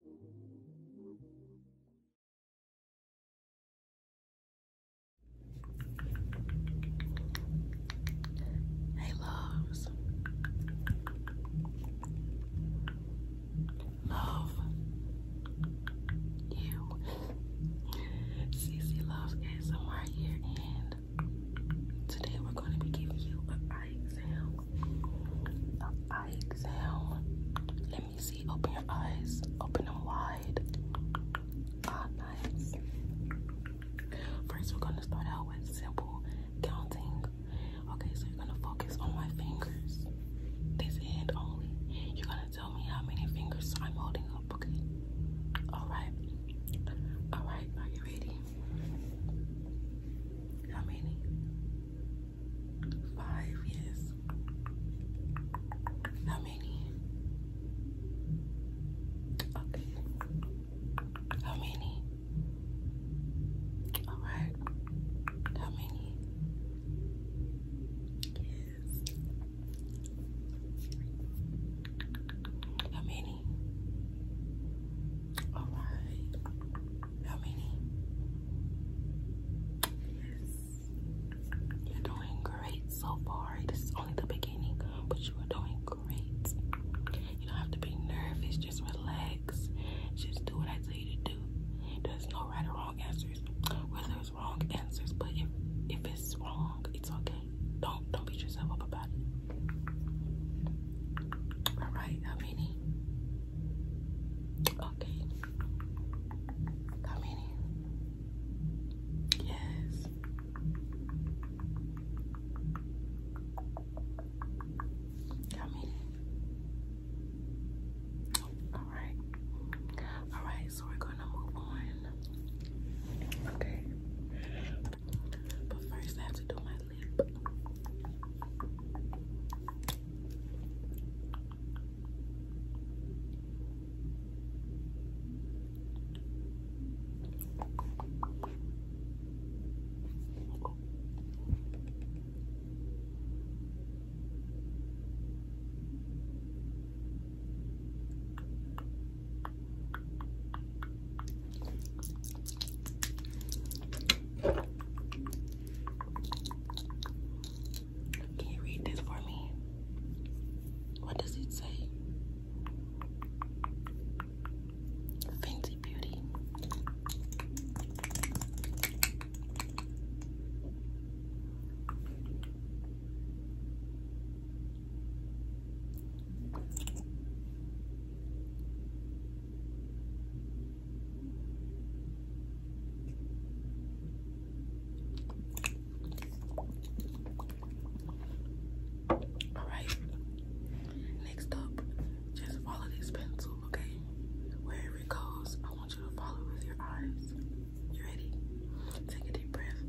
Hey loves. Love you. CC Loves ASMR here and today we're going to be giving you an eye eye exam. Let me see. Open your eyes. Open them wide. Ah, First, we're gonna start out with simple counting. Okay, so you're gonna focus on my fingers. This hand only. You're gonna tell me how many fingers I'm holding up. Okay. All right. All right. Are you ready? How many? Five, yes. How many? Okay. How many? All right. How many? Yes. How many? All right. How many? Yes. You're doing great so far. This is only the beginning, but you are doing great. You don't have to be nervous. Just relax. Just do what I tell you to do. There's no right or wrong answers. Well, there's wrong answers, but if if it's wrong, it's okay. Don't don't beat yourself up about it. All right, how Okay. How Yes. How All right. All right, so we're going to move on. Okay. But first, I have to do my lip. Can you read this for me? What does it say? Fancy Beauty. Alright, next up, just follow this pencil, okay? Wherever it goes, I want you to follow with your eyes. You ready? Take a deep breath.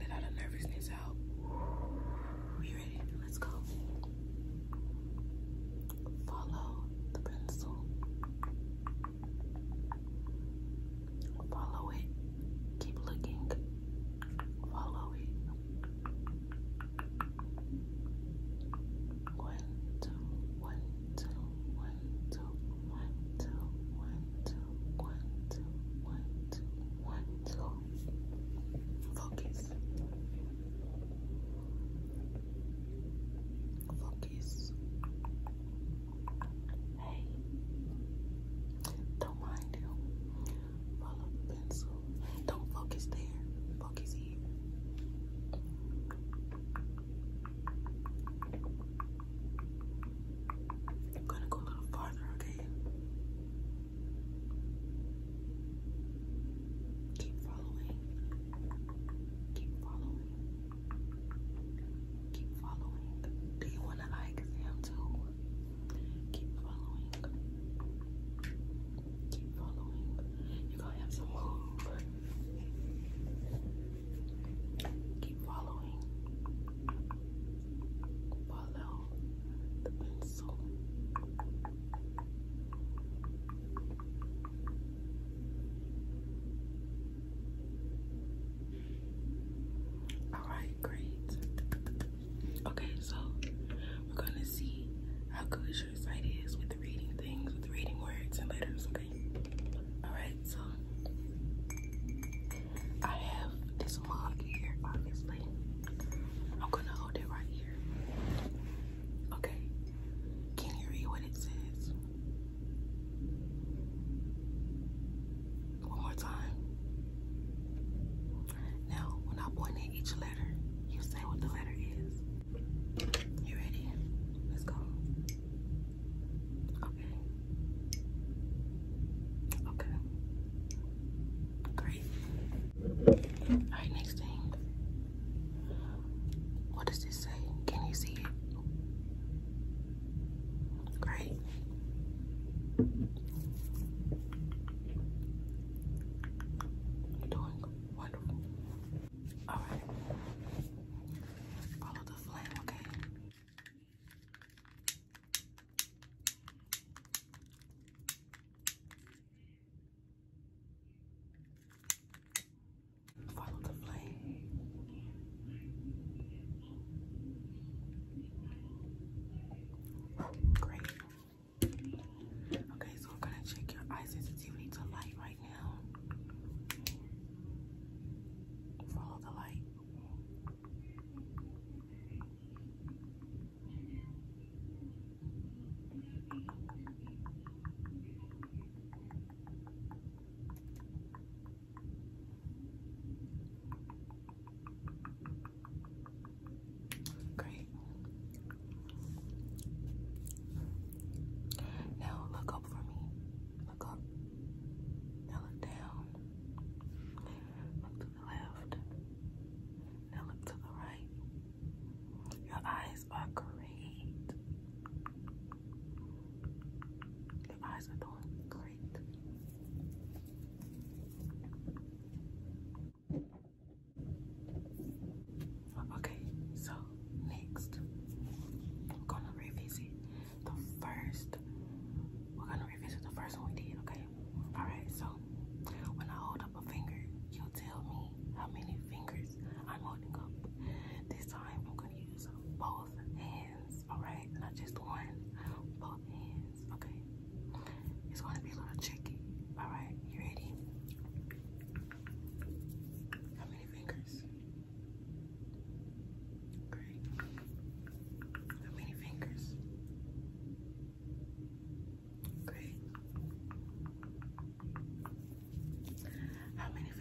Let out the nervousness you ready? Let's go. Follow the pencil. Follow it. Keep looking. Follow it. One, two, one, two, one, two, one, two, one, two, one, two, one, two, one, two. Focus. Focus. Hey. Don't mind him. Follow pencil. Don't focus there. Focus here. I'm gonna go a little farther, okay? Keep following. Keep following. Keep following. Do you want an eye exam too? Keep following. Keep following. You're gonna have some hope. Keep following. Follow the pencil. All right, great. Okay, so we're gonna see how good your sight is with reading things, with reading words and letters. Okay. Alright, so I have this mug here, obviously. I'm gonna hold it right here. Okay, can you read what it says? One more time. Now, when I point at each letter, you say what the letter is. You ready? Let's go. Okay. Okay. Great. Alright, next thing. What does this say? Can you see it? Great. You're doing wonderful. Alright. Follow the flame, okay? Follow the flame. Great. Okay, so I'm gonna check your eye sensitivity to light right right now. Follow the light. Great. Now look up for me. Look up. Now look down. Look to the left. Now look to the right. Your eyes are great. Your eyes are doing great. Okay, so next we're gonna revisit the first we're gonna revisit the first one we did, okay? Alright, so when I hold up a finger, you tell me how many fingers I'm holding up. This time I'm gonna use both hands, alright? Not just one, both hands, okay? It's gonna be a little tricky, alright? You ready? How many fingers? Great. How many fingers? Great. How many fingers? Great. How many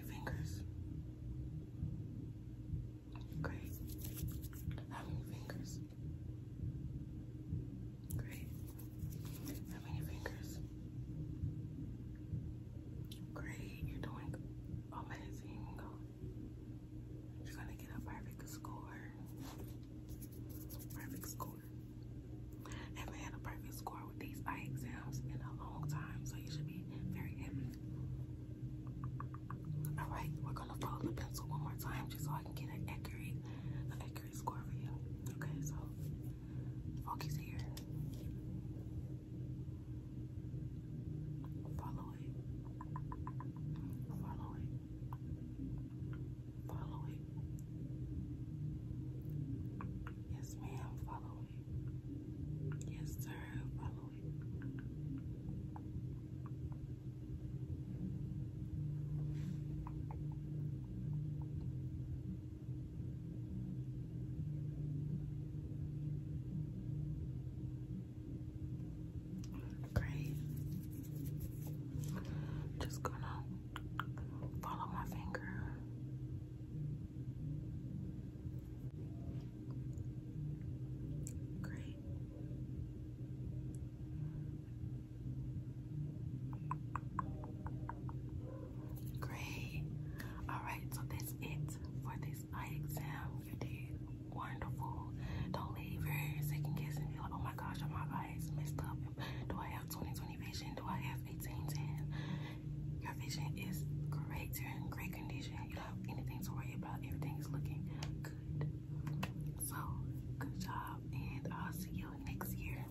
fingers? Great. How many fingers? Great. How many fingers? Great. You're doing amazing. You're gonna get a perfect score. Perfect score. haven't had a perfect score with these eye exams in a long time, so you should be very happy. All right, we're gonna roll the pencil one more time just so I can get an accurate, an accurate score for you. Okay, so focus here. Follow it. Follow it. Follow it. Yes, ma'am. Follow it. Yes, sir. Follow Great. Just gonna follow my finger. Great. Great. Alright, so that's it for this eye exam. You wonderful. Don't leave your second guessing and be like, oh my gosh, are my eyes messed up? Do I have 20 20 vision? Do I have 18 10? Your vision is great and greater condition. You don't have anything to worry about. Everything is looking good. So, good job, and I'll see you next year.